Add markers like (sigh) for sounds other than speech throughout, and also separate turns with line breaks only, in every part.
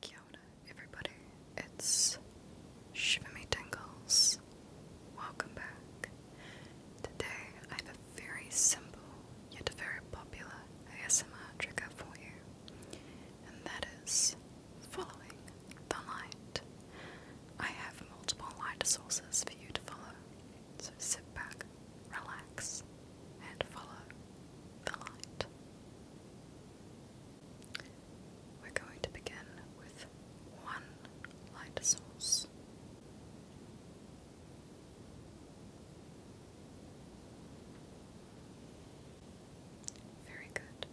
Kia everybody. It's Shiver Me Tingles. Welcome back. Today I have a very simple yet very popular ASMR up for you, and that is following the light. I have multiple light sources for you to follow, so sit back, relax, and follow the light. We're going to begin with one light source. Very good.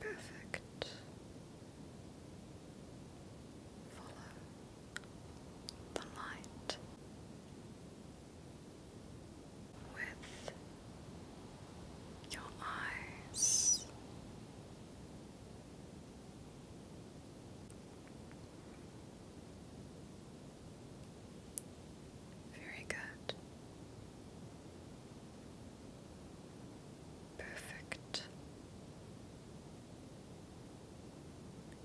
Perfect. Follow the light with your eyes. Very good. Perfect.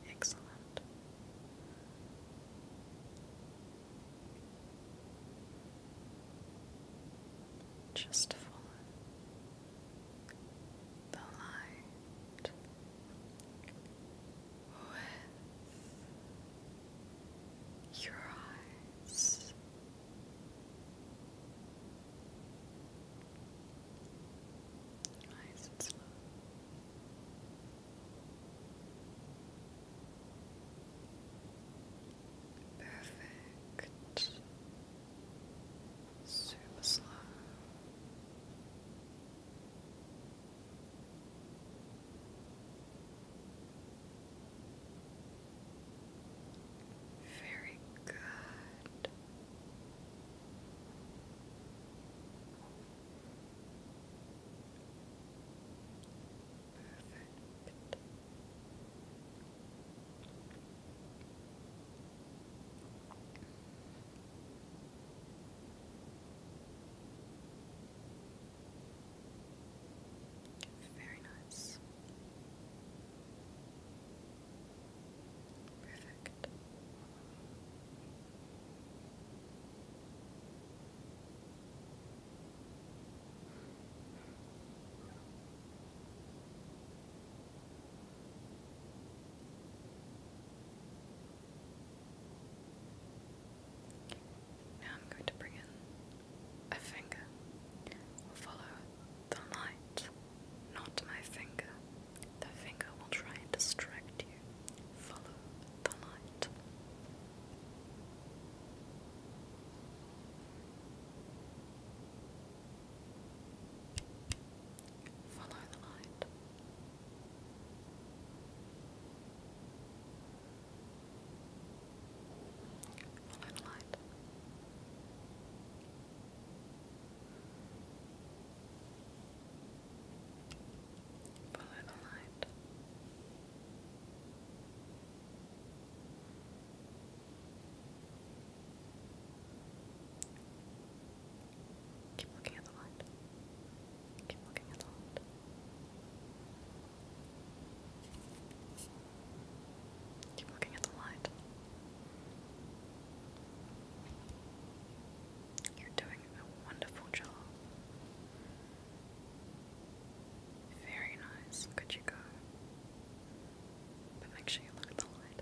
Excellent. Just follow the light with your eyes. Nice and slow. Perfect. Super slow. Very good. Perfect. Very nice. Perfect. Now I'm going to bring in a finger. follow the light, not my finger, the finger will try and distract you. Follow the light. Follow the light. Follow the light. Follow the Keep looking at the light. Keep looking at the light. Keep looking at the light. You're doing a wonderful job. Very nice. Could you go? But make sure you look at the light.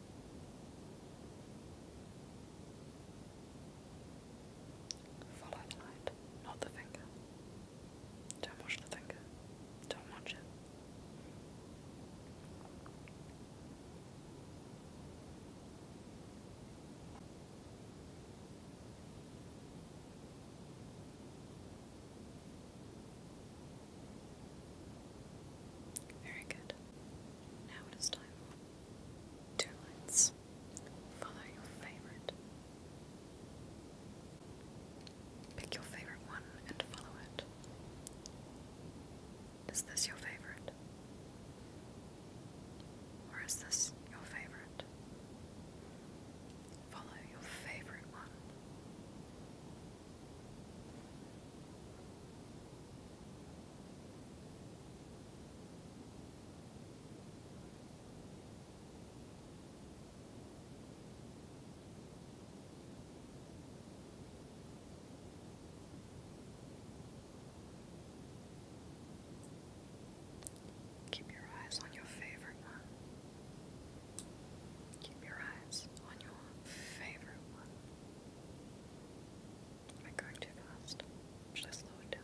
Follow the light, not the finger. Don't watch the finger. Don't watch it. Very good. Now it is time for two lights. Follow your favorite. Pick your favorite one and follow it. Is this your favorite? Or is this your favorite? Follow your favorite one. Keep your eyes on your favorite one. Keep your eyes on your favorite one. Am I going too fast? Should I slow it down?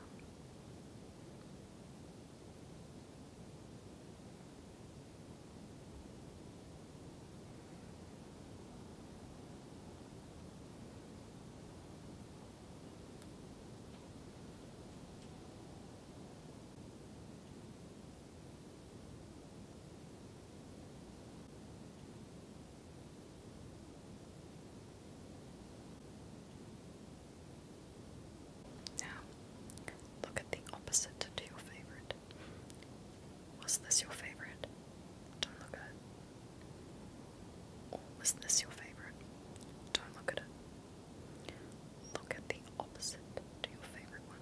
Now, look at the opposite to your favorite. Was this your favorite? Don't look at it. was this your favorite? Don't look at it. Look at the opposite to your favorite one.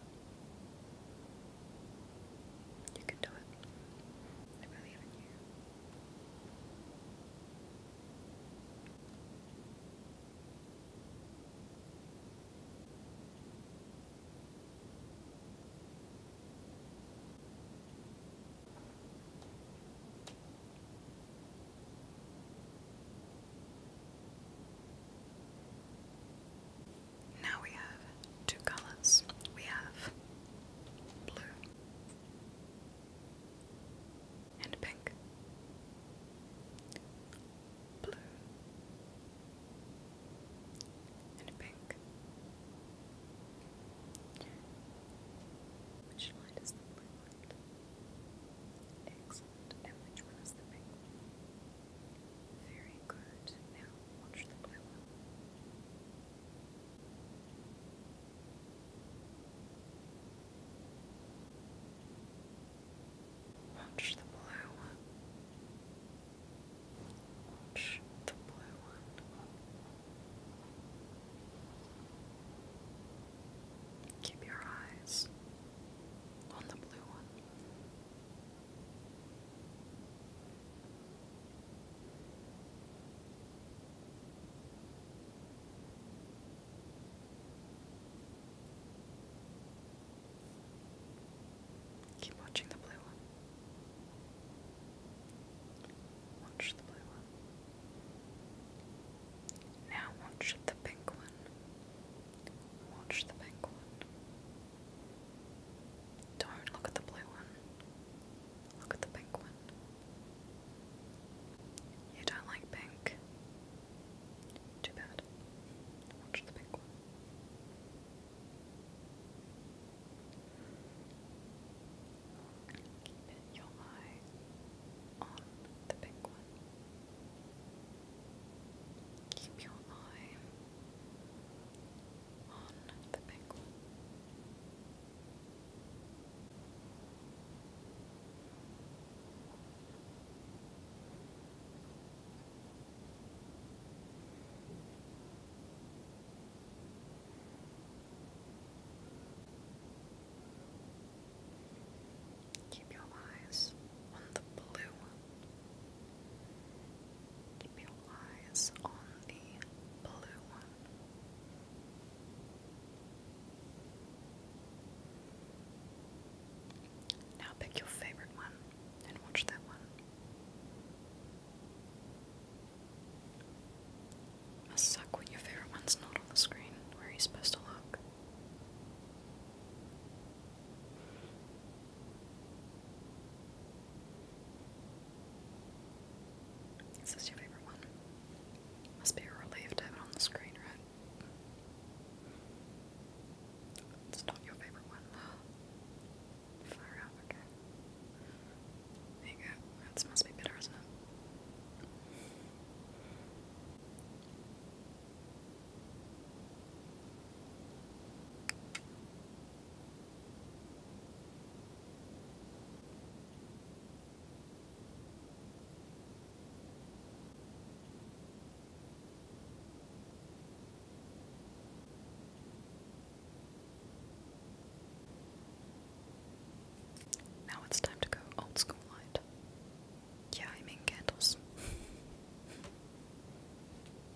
You can do it. I believe in you. Now we have two colors. We have blue and pink. Blue and pink. Which light is the blue light? Excellent. And which one is the pink Very good. Now watch the blue one. Watch the blue one. Watch the blue one. Keep your eyes on the blue one. Keep watching the blue one. Watch the blue one. Now watch the pink one. Watch the pink one. Don't look at the blue one. Look at the pink one. You don't like pink? Too bad. Watch the pink one. Keep your eye on the pink one. Keep your eye on the Keep your eyes on the blue one. Keep your eyes on the blue one. Now pick your favorite one and watch that one. Must suck when your favorite one's not on the screen where you supposed to look. Is this your favorite one? Must be a to have it on the screen, right? It's not your favorite one. (gasps) Far out, okay. There you go. That must be better, now it's time to go old school light. Yeah, I mean candles. (laughs)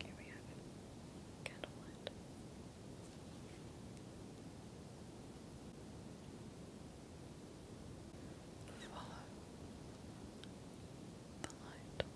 Here we have candlelit. Follow the light.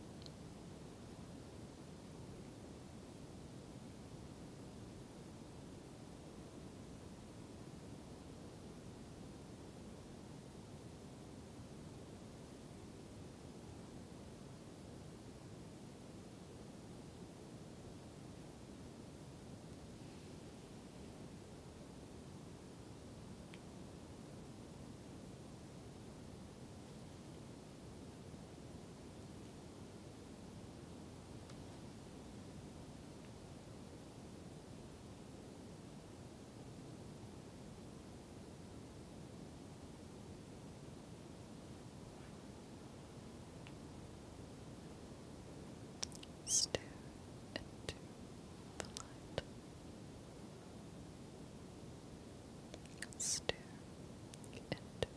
Stare into the light. Stare into the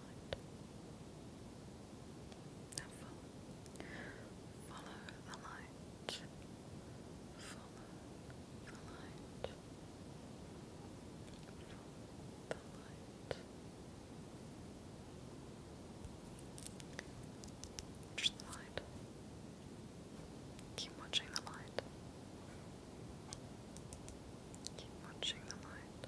light. follow. Follow the light. Follow the light. Follow the light. Watch light. Keep watching the light. Keep watching the light.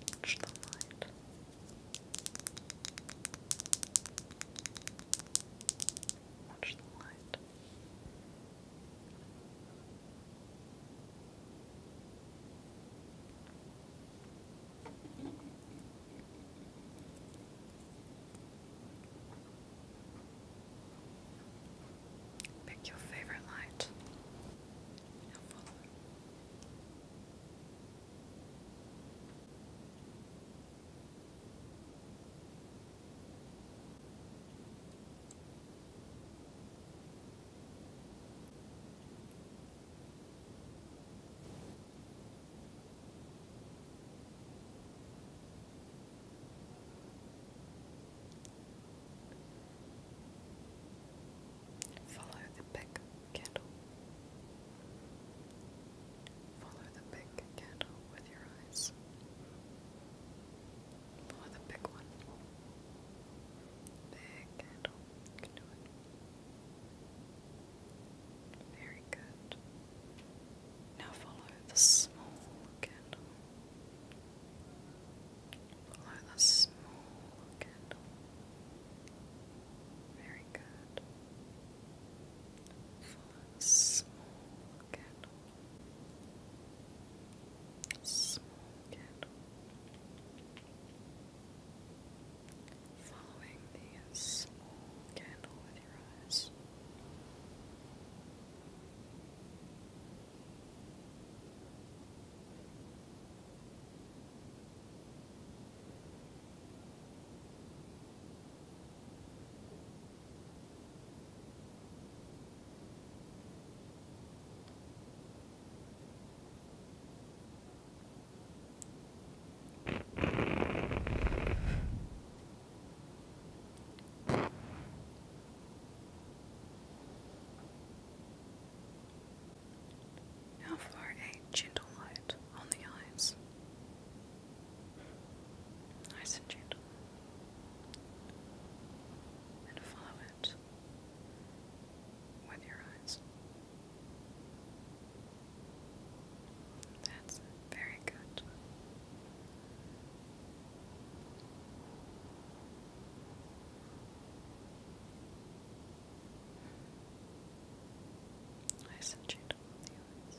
Watch the light. Watch the light. Pick your favorite light Follow the big candle. Follow the big candle with your eyes. Oh, the big one. Big candle. You can do it. Very good. Now follow the small candle. Follow the small candle. Very good. Follow small candle. Small candle. Following the small candle with your eyes. Now for a gentle light on the eyes. Nice and gentle. And follow it with your eyes. That's very good. I sent the eyes.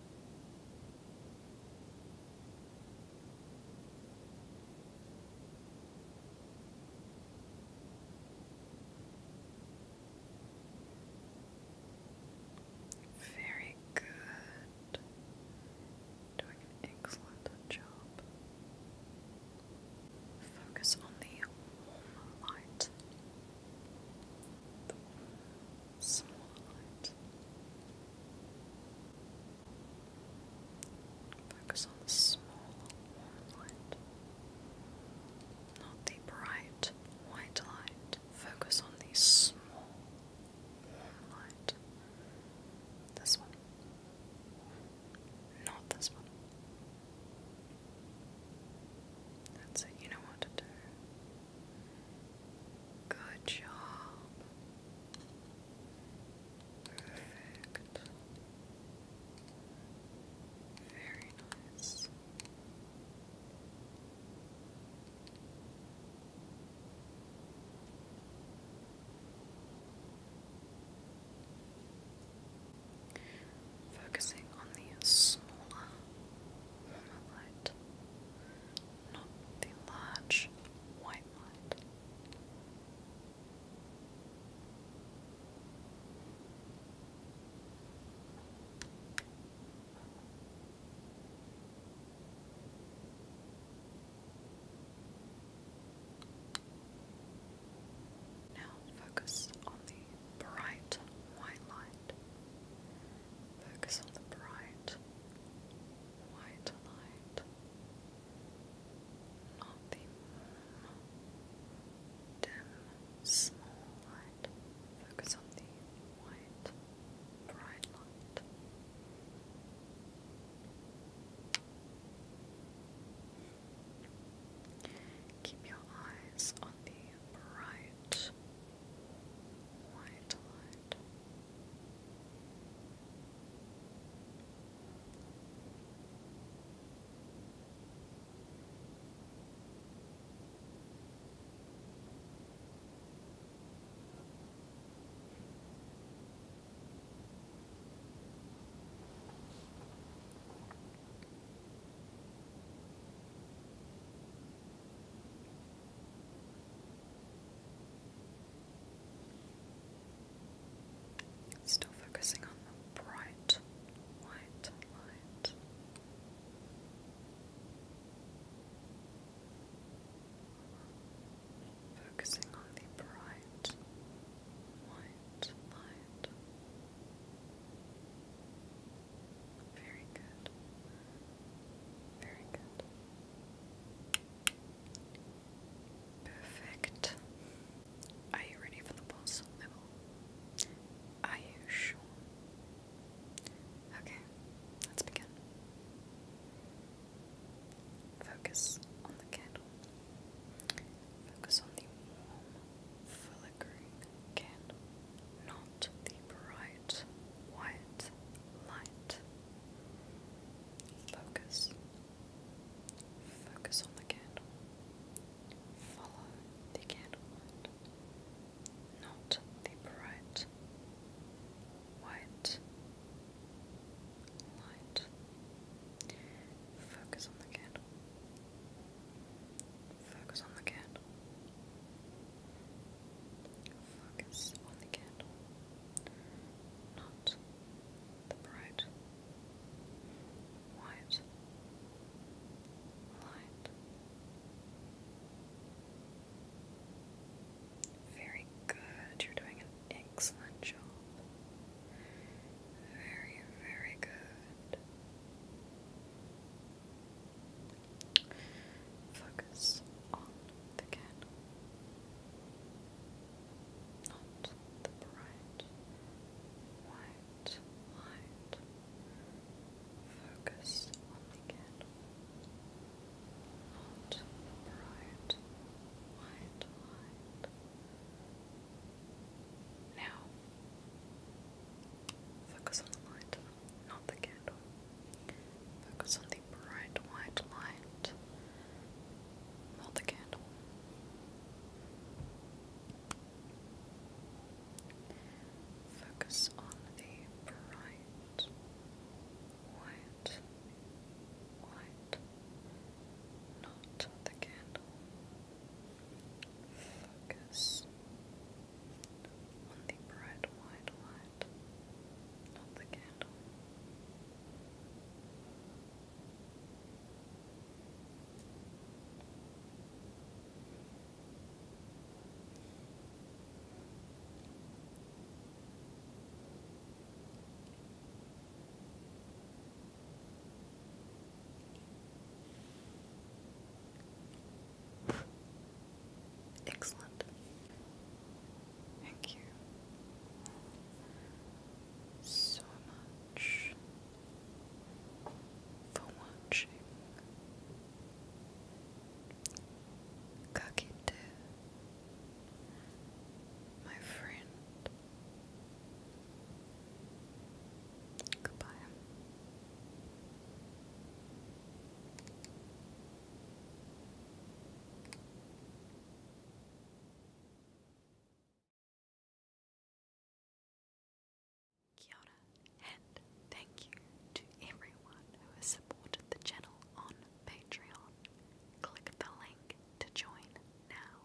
Very good. Doing an excellent job. Focus on the warm light somewhat. Focus on the small warm light, not the bright white light. Focus on the small warm light. This one, not this one. That's it, you know what to do. Good job. Perfect. Very nice. Focusing on the smaller monolight, not the large white light. Now focus on the bright white light. Focus on the bright white light, not the dim, small light. Focus on the white, bright light. Keep your eyes on the bright White light. Still focusing on the bright white light. Focusing on the bright white light. Very good. Very good. Perfect. Are you ready for the pulse level? Are you sure? Okay, let's begin. Focus on the candle. Focus on the flickering candle, not out the bright white light. Focus. Focus on the candle. Follow the candle not the bright white light. Focus on the candle. Focus on the candle. Focus on the candle, not the bright white light. Very good, you're doing an excellent job. Very, very good. Focus on the candle, not the bright white light. Focus on the candle, not the bright white light. Now, focus on the light not the candle. Focus on the bright white light, not the candle. Focus on the bright white white, not the candle. Focus on the bright white light of the candle. Excellent. Thank you so much for watching. Kakite, my friend. Goodbye. Kia and thank you to everyone who has supported the channel on Patreon. Click the link to join now.